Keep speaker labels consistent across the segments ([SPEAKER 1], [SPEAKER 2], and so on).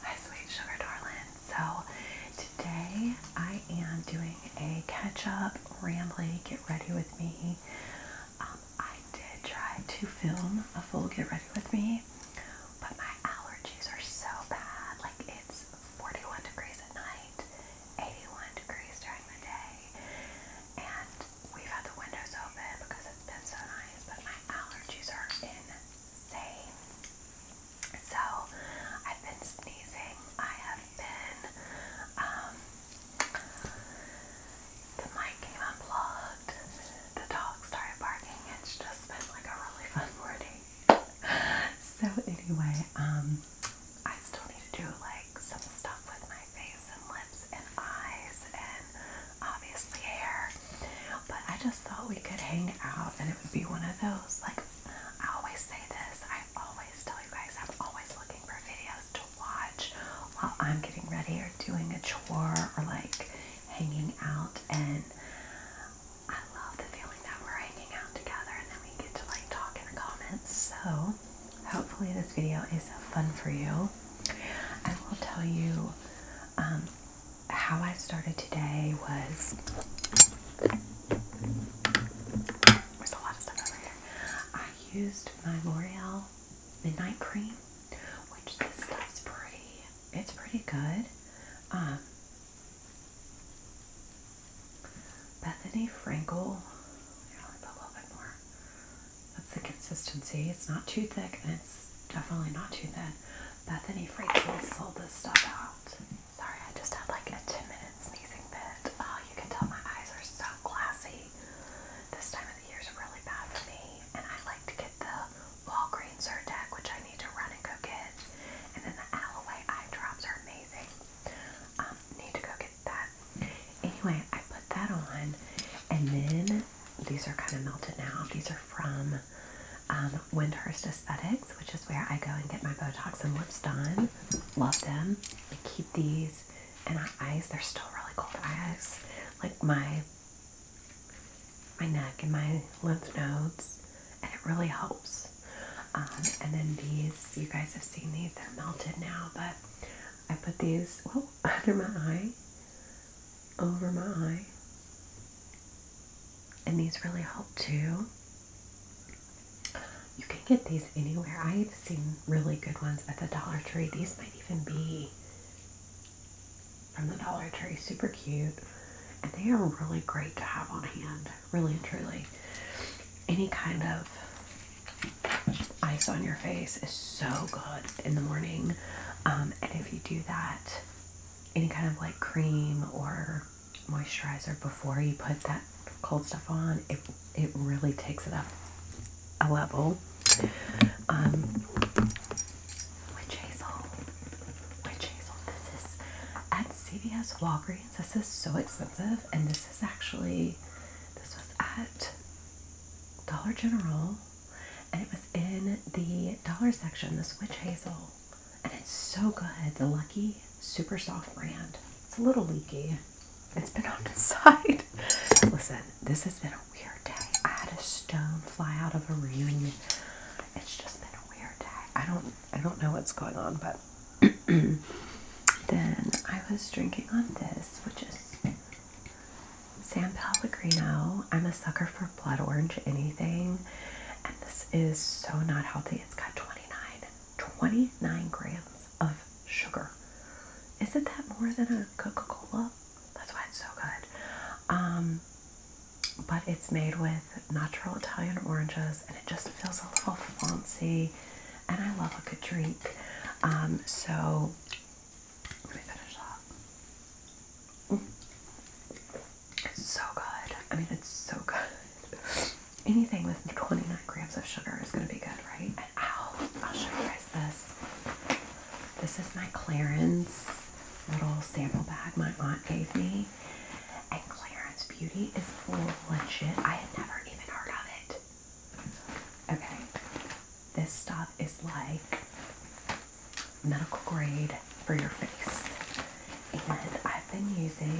[SPEAKER 1] Hi, sweet sugar darling. So today I am doing a catch-up, rambly, get ready with me. Um, I did try to film a full get ready with me, but my allergies are so bad. Like it's 41 degrees at night, 81 degrees during the day, and we've had the windows open because it's been so nice. But my allergies are in say. So I've been sneezing. I have been. Um, the mic came unplugged. The dog started barking. It's just been like a really fun morning. so anyway, um, I still need to do like some stuff with my face and lips and eyes and obviously hair. But I just thought we could hang out and it would be one of those. Like, I always say this, I always tell you guys, I'm always looking for videos to watch while I'm getting ready or doing a chore or like hanging out. And I love the feeling that we're hanging out together and then we get to like talk in the comments. So, hopefully, this video is fun for you. I will tell you. Um, how I started today was there's a lot of stuff over here. I used my L'Oreal Midnight Cream, which this stuff's pretty. It's pretty good. Um, Bethany Frankel. Here, i put a little bit more. That's the consistency. It's not too thick, and it's definitely not too thin. Bethany Frankel sold this stuff out. Sorry, I just had like a 10 minute sneezing fit. Oh, you can tell my eyes are so glassy. This time of the year is really bad for me, and I like to get the Walgreens Zyrtec, which I need to run and go get. And then the Alloway eye drops are amazing. Um, need to go get that. Anyway, I put that on, and then these are kind of melted now. These are from um, Windhurst Aesthetics, which is where I go and get my Botox and lips done. Love them. I keep these and my eyes, they're still really cold eyes. Like my my neck and my lymph nodes, and it really helps. Um, and then these, you guys have seen these, they're melted now, but I put these well, under my eye over my eye. And these really help too. You can get these anywhere. I've seen really good ones at the Dollar Tree. These might even be from the Dollar Tree. Super cute. And they are really great to have on hand. Really and truly. Any kind of ice on your face is so good in the morning. Um, and if you do that any kind of like cream or moisturizer before you put that cold stuff on, it it really takes it up a level. Um, witch hazel, witch hazel. This is at CVS Walgreens. This is so expensive, and this is actually this was at Dollar General and it was in the dollar section, the Switch Hazel. And it's so good. The Lucky Super Soft brand. It's a little leaky. It's been on its side. Listen, this has been a weird day. I had a stone fly out of a reunion. It's just been a weird day. I don't I don't know what's going on, but then I was drinking on this, which is San Pellegrino. I'm a sucker for blood orange anything. And this is so not healthy. It's got 29, grams of sugar. Isn't that more than a Coca-Cola? That's why it's so good. Um, but it's made with natural Italian oranges and it just feels a little fancy. And I love a good drink. Um, so let me finish that. It's so good. I mean, it's so good. Anything with 29 grams of sugar is going to be good, right? And ow, I'll show you guys this. This is my Clarence little sample bag my aunt gave me. And Clarence Beauty is legit. I had never even heard of it. Okay. This stuff is like medical grade for your face. And I've been using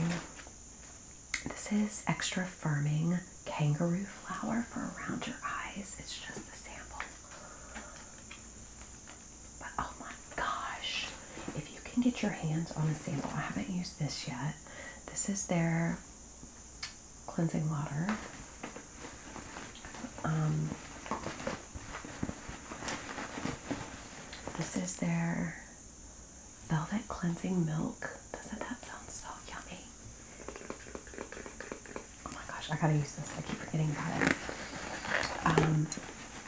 [SPEAKER 1] this is extra firming kangaroo flower for around your eyes. It's just a sample. But oh my gosh, if you can get your hands on a sample, I haven't used this yet. This is their cleansing water. Um, this is their velvet cleansing milk. Doesn't that sound so yummy? Oh my gosh, I gotta use this. I keep forgetting about it. Um,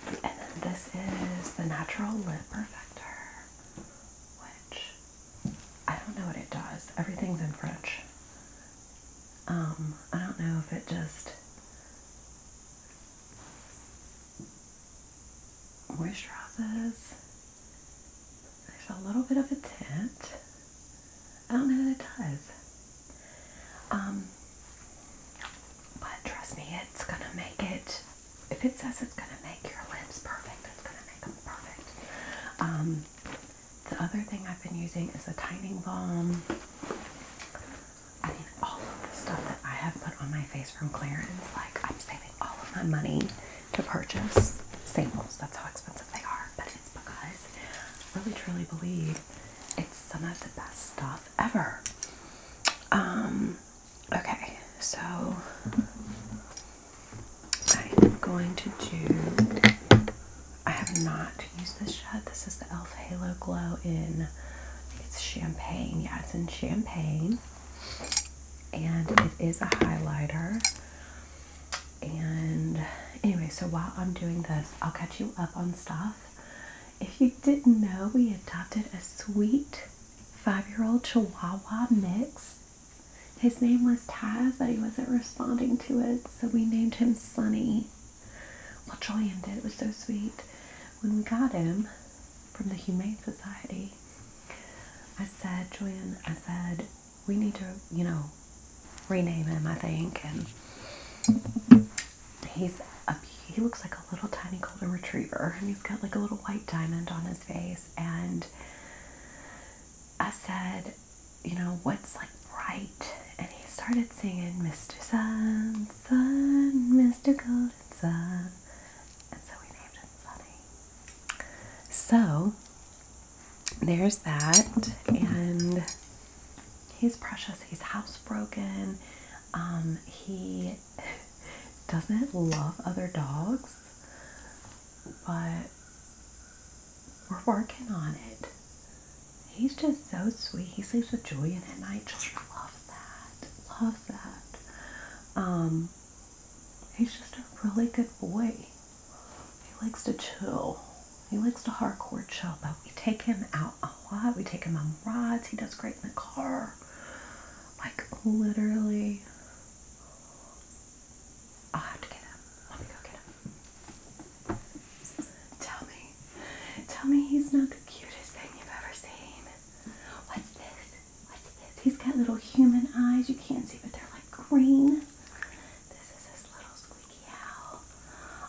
[SPEAKER 1] and then this is the Natural Lip Perfector, which I don't know what it does. Everything's in French. Um, I don't know if it just moisturizes. There's a little bit of a tint. I don't know that it does. Um, but trust me, it's gonna make it. If it says it's gonna make your lips perfect, it's gonna make them perfect. Um, the other thing I've been using is a tightening balm. I mean, all of the stuff that I have put on my face from clearance, like I'm saving all of my money to purchase samples. That's how expensive they are, but it's because I really truly believe it's some of the best stuff ever. Um, okay, so I am going to do I have not used this yet. This is the e.l.f. Halo Glow in, I think it's champagne. Yeah, it's in champagne. And it is a highlighter. And anyway, so while I'm doing this, I'll catch you up on stuff. If you didn't know, we adopted a sweet five-year-old Chihuahua mix. His name was Taz, but he wasn't responding to it, so we named him Sunny. Well, Julian did. It was so sweet. When we got him from the Humane Society, I said, Julian, I said, we need to, you know, rename him, I think. And he's a, he looks like a little tiny golden retriever, and he's got like a little white diamond on his face. And I said, you know, what's like right, and he started singing Mr. Sun, Sun, Mr. Golden Sun, and so we named him Sunny. So there's that, and he's precious. He's housebroken. Um, he doesn't love other dogs, but we're working on it. He's just so sweet. He sleeps with Julian at night. just love that. Love that. Um, he's just a really good boy. He likes to chill. He likes to hardcore chill, but we take him out a lot. We take him on rides. He does great in the car. Like, literally. i have to get him. Let me go get him. Tell me. Tell me he's not the cutest thing you've ever seen. What's this? What's this? He's got little human eyes. You can't see, but they're like green. This is his little squeaky owl.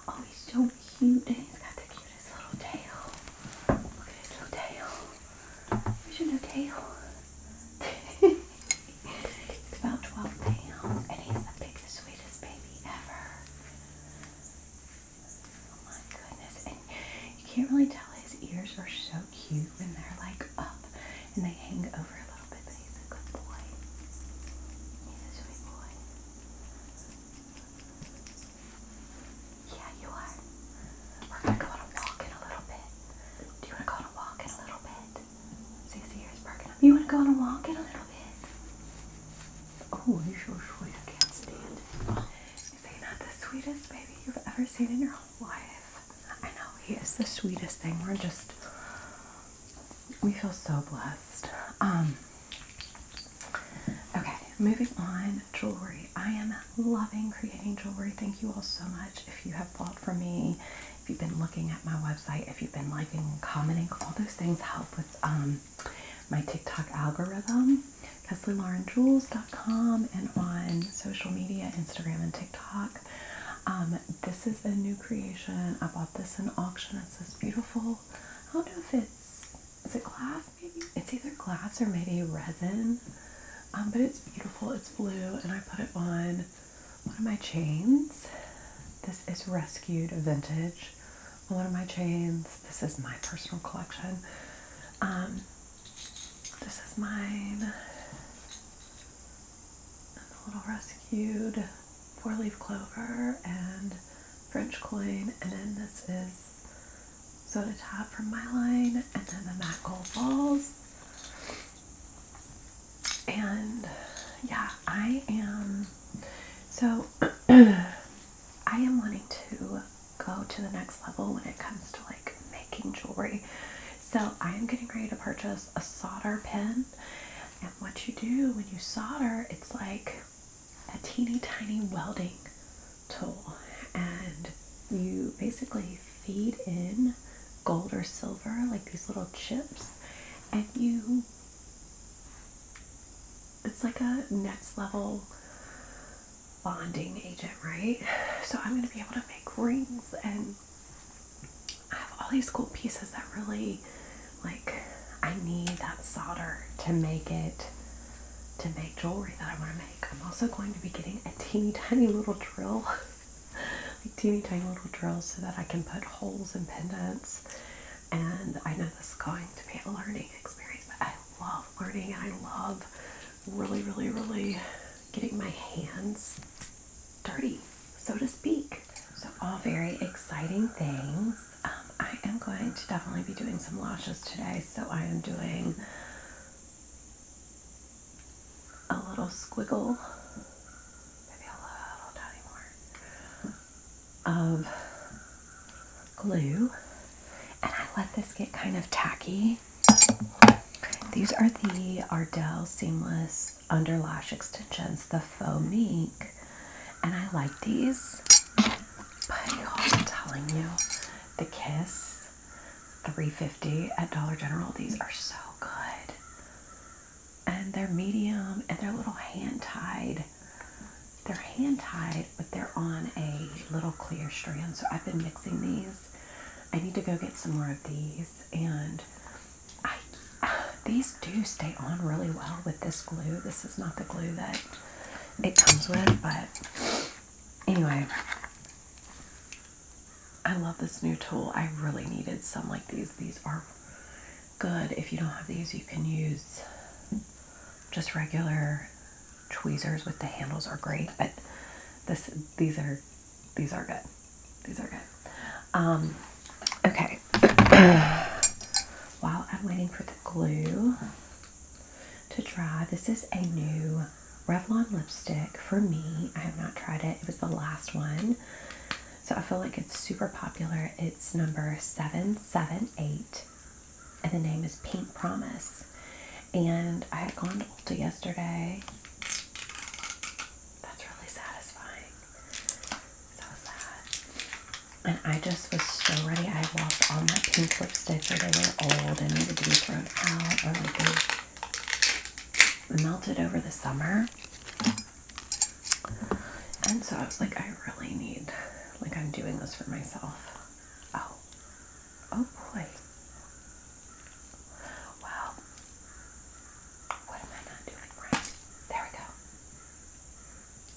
[SPEAKER 1] Oh, he's so cute. And he's got the cutest little tail. Look at his little tail. Where's your little tail? he's about 12 pounds and he's the biggest, sweetest baby ever. Oh my goodness. And you can't really tell his ears are so cute when they're like up and they hang over a little bit, he's a good boy. He's a sweet boy. Yeah, you are. We're gonna go on a walk in a little bit. Do you wanna go on a walk in a little bit? See his ears perking up. You wanna go on a walk in a little bit? Oh, you sure sweet. I can't stand it. Is he not the sweetest baby you've ever seen in your whole life? I know he is the sweetest thing. We're just we feel so blessed. Um okay, moving on, jewelry. I am loving creating jewelry. Thank you all so much. If you have bought from me, if you've been looking at my website, if you've been liking commenting, all those things help with um my TikTok algorithm, KesleyLaurenJules.com, and on social media, Instagram and TikTok. Um, this is a new creation. I bought this in auction. It's this beautiful, I don't know if it's, is it glass maybe? It's either glass or maybe resin, um, but it's beautiful. It's blue, and I put it on one of my chains. This is Rescued Vintage one of my chains. This is my personal collection. Um, this is mine. And the little rescued four-leaf clover and French coin. And then this is soda top from my line. And then the matte gold balls. And yeah, I am so I am wanting to go to the next level when it comes to like making jewelry. So I am getting ready to purchase a solder pen. And what you do when you solder, it's like a teeny tiny welding tool. And you basically feed in gold or silver, like these little chips, and you it's like a next level bonding agent, right? So I'm gonna be able to make rings and I have all these cool pieces that really like I need that solder to make it to make jewelry that I want to make. I'm also going to be getting a teeny tiny little drill. like teeny tiny little drill, so that I can put holes in pendants and I know this is going to be a learning experience, but I love learning and I love really, really, really getting my hands dirty, so to speak. So, all very exciting things. Um, I am going to definitely be doing some lashes today, so I am doing a little squiggle, maybe a little tiny more of glue. And I let this get kind of tacky. These are the Ardell Seamless Underlash Extensions, the Faux Mink. And I like these. But I'm telling you, the Kiss 350 at Dollar General, these are so good and they're medium and they're little hand tied. They're hand tied, but they're on a little clear strand. So I've been mixing these. I need to go get some more of these. And I, these do stay on really well with this glue. This is not the glue that it comes with, but anyway. I love this new tool. I really needed some like these. These are good if you don't have these you can use just regular tweezers with the handles are great but this these are these are good these are good um, okay while i'm waiting for the glue to dry this is a new revlon lipstick for me i have not tried it it was the last one so I feel like it's super popular. It's number 778, and the name is Pink Promise. And I had gone to Ulta yesterday. That's really satisfying. So sad. And I just was so ready. I lost all my pink lipsticks, or they were old and needed to be thrown out, or melted over the summer. And so I was like, I really need, like, I'm doing this for myself. Oh, oh boy. Well, what am I not doing right? There we go.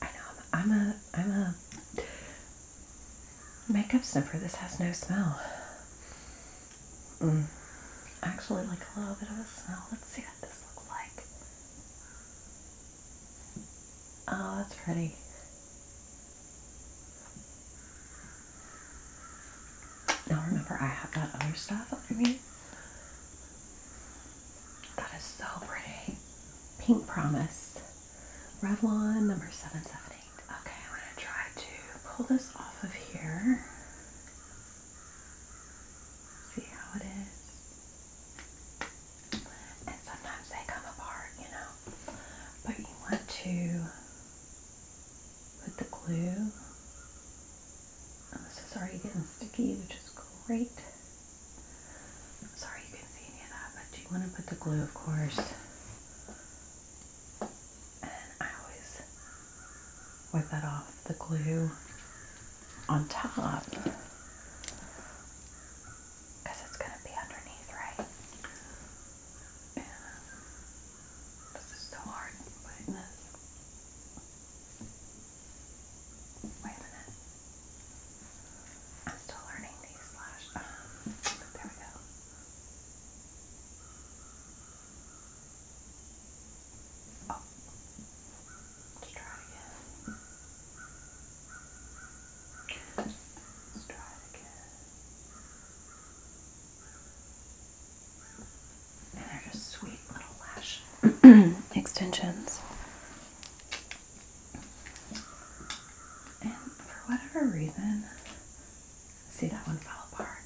[SPEAKER 1] I know I'm, ai I'm a makeup sniffer. This has no smell. Mm. Actually, like a little bit of a smell. Let's see what this looks like. Oh, that's pretty. Now remember, I have got other stuff under me. That is so pretty. Pink Promise. Revlon number 778. Okay, I'm going to try to pull this off of here. See how it is and sometimes they come apart, you know. But you want to put the glue. Oh, this is already getting sticky, which is great. sorry you can't see any of that, but you want to put the glue, of course. And I always wipe that off, the glue on top because it's going to be underneath, right? And this is so hard putting this. Wait a minute. I'm still learning these slash. Um, there we go. Oh. Let's try again. Let's try again. And they're just sweet little lash extensions. And for whatever reason, see that one fell apart.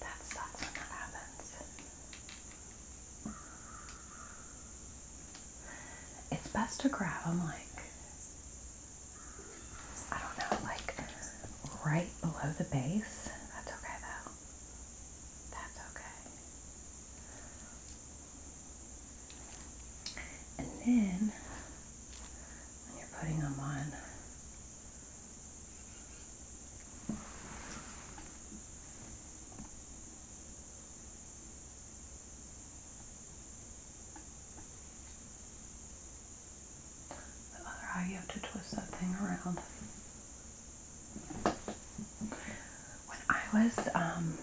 [SPEAKER 1] That sucks when that happens. It's best to grab them like, I don't know, like right below the base. That's okay though. That's okay. And then when you're putting them on, the other you have to twist that thing around. When I was um,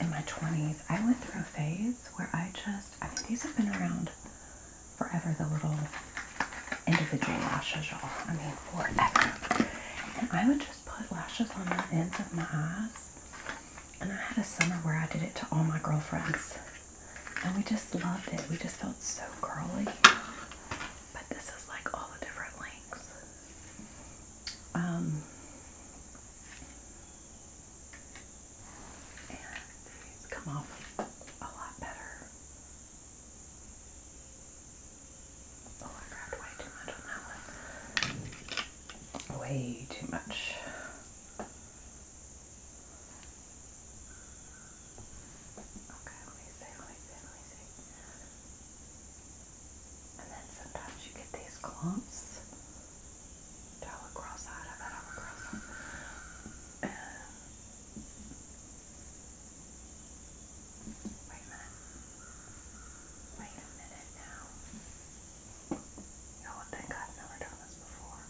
[SPEAKER 1] in my 20s, I went through a phase where I just, I mean, these have been around forever, the little individual lashes, all I mean, forever. And I would just put lashes on the ends of my eyes. And I had a summer where I did it to all my girlfriends. And we just loved it. We just felt so girly. But this is like all different lengths. Um, and come off a lot better. Oh, I grabbed way too much on that one. Way too much. Okay, let me see, let me see, let me see. And then sometimes you get these clumps. Dollar cross-eyed, I bet i Wait a minute. Wait a minute now. Y'all would I've never done this before.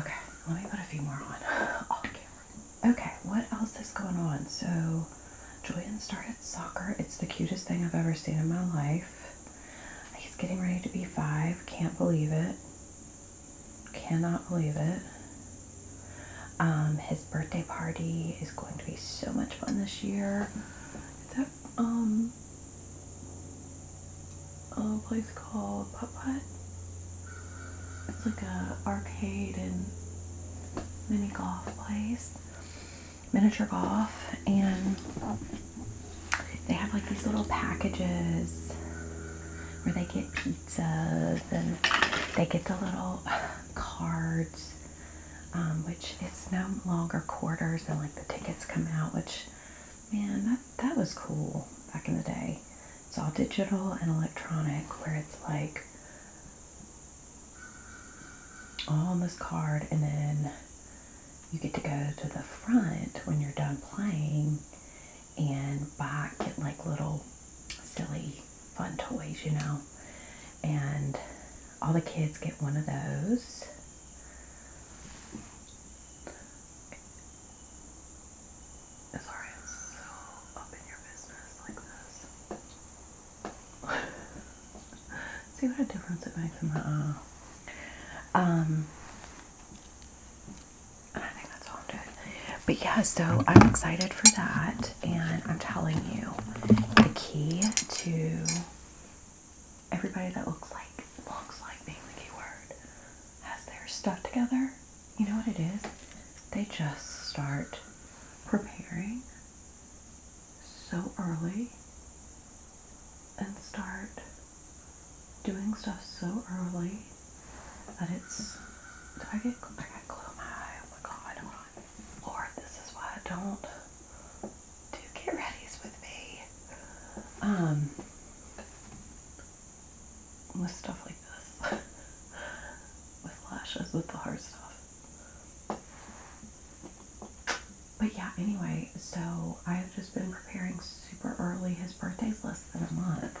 [SPEAKER 1] Okay, let me put a few more on Okay, what else is going on? So, Julian started soccer. It's the cutest thing I've ever seen in my life. He's getting ready to be five. Can't believe it. Cannot believe it. Um, his birthday party is going to be so much fun this year. That um, a place called Put Put? It's like a arcade and mini golf place miniature golf and they have like these little packages where they get pizzas and they get the little cards um, which it's no longer quarters and like the tickets come out which man that, that was cool back in the day it's all digital and electronic where it's like all on this card and then you get to go to the front when you're done playing and buy get like little silly fun toys, you know. And all the kids get one of those. See what a difference it makes in my eye. Uh, um, and I think that's all I'm doing. But yeah, so I'm excited for that. And I'm telling you, the key to everybody that looks like looks like being the keyword has their stuff together. You know what it is? They just start preparing so early and start doing stuff so early that it's. Do I get? I got glue close my eye. Oh my god! Hold on. Lord, this is why I don't do get readies with me. Um, with stuff like this, with lashes, with the hard stuff but yeah, anyway, so I've just been preparing super early. His birthday's less than a month,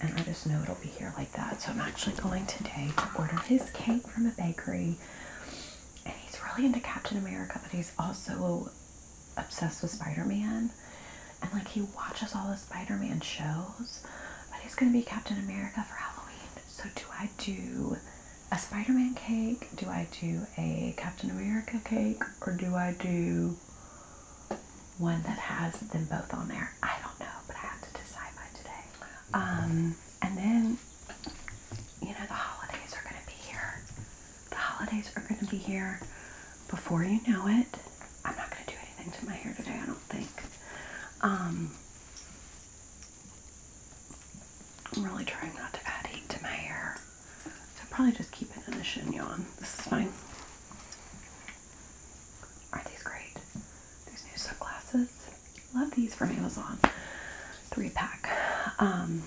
[SPEAKER 1] and I just know it'll be here like that. So I'm actually going today to order his cake from a bakery. And he's really into Captain America, but he's also obsessed with Spider Man. And like he watches all the Spider Man shows, but he's gonna be Captain America for Halloween. So do I do a Spider-Man cake? Do I do a Captain America cake? Or do I do one that has them both on there? I don't know, but I have to decide by today. Um, and then, you know, the holidays are going to be here. The holidays are going to be here before you know it. I'm not going to do anything to my hair today, I don't think. Um, I'm really trying not to add heat to my hair. So probably just keep it in a chignon. This is fine. Aren't these great? These new sunglasses. Love these from Amazon. Three pack. Um,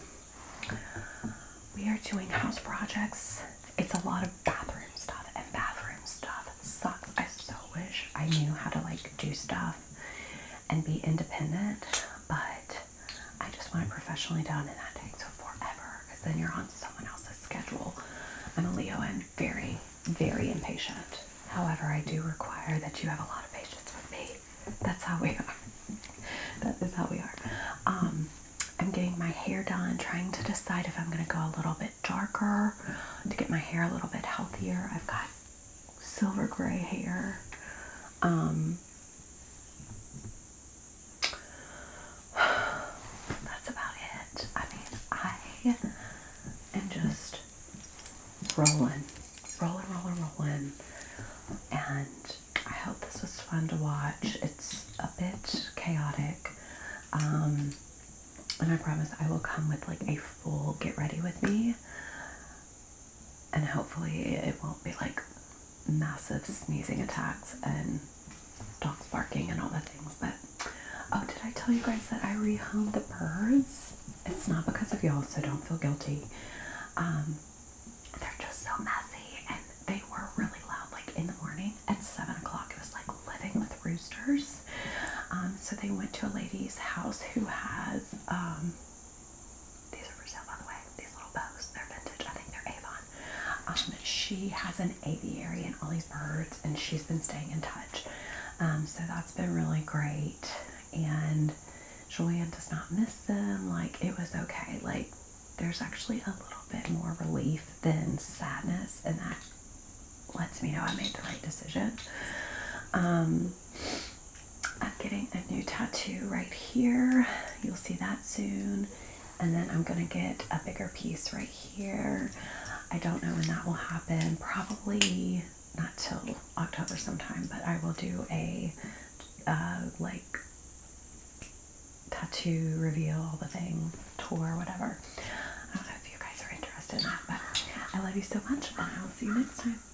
[SPEAKER 1] we are doing house projects. It's a lot of bathroom stuff, and bathroom stuff sucks. I so wish I knew how to like do stuff and be independent, but I just want it professionally done, and that takes forever because then you're on someone else's schedule. I'm a Leo and very, very impatient. However, I do require that you have a lot of patience with me. That's how we are. that is how we are. Um, I'm getting my hair done, trying to decide if I'm going to go a little bit darker to get my hair a little bit healthier. I've got silver gray hair. Um, that's about it. I mean, I am just rolling, rolling, rolling, rolling. And I hope this was fun to watch. It's a bit chaotic. Um, and I promise I will come with like a full get ready with me and hopefully it won't be like massive sneezing attacks and dogs barking and all the things. But oh, did I tell you guys that I rehomed the birds? It's not because of y'all, so don't feel guilty. Um, they're just so messy, and they were really loud. Like in the morning at seven o'clock, it was like living with roosters. Um, so they went to a lady's house who has um, these are for sale, by the way. These little bows, they're vintage. I think they're Avon. Um, she has an aviary and all these birds, and she's been staying in touch. Um, so that's been really great. And Joanne does not miss them. Like, it was okay. Like, there's actually a little bit more relief than sadness, and that lets me know I made the right decision. Um, I'm getting a new tattoo right here. You'll see that soon. And then I'm going to get a bigger piece right here. I don't know when that will happen. Probably not till October sometime, but I will do a uh, like tattoo reveal, all the things, tour, whatever. I don't know if you guys are interested in that, but I love you so much, and I will see you next time.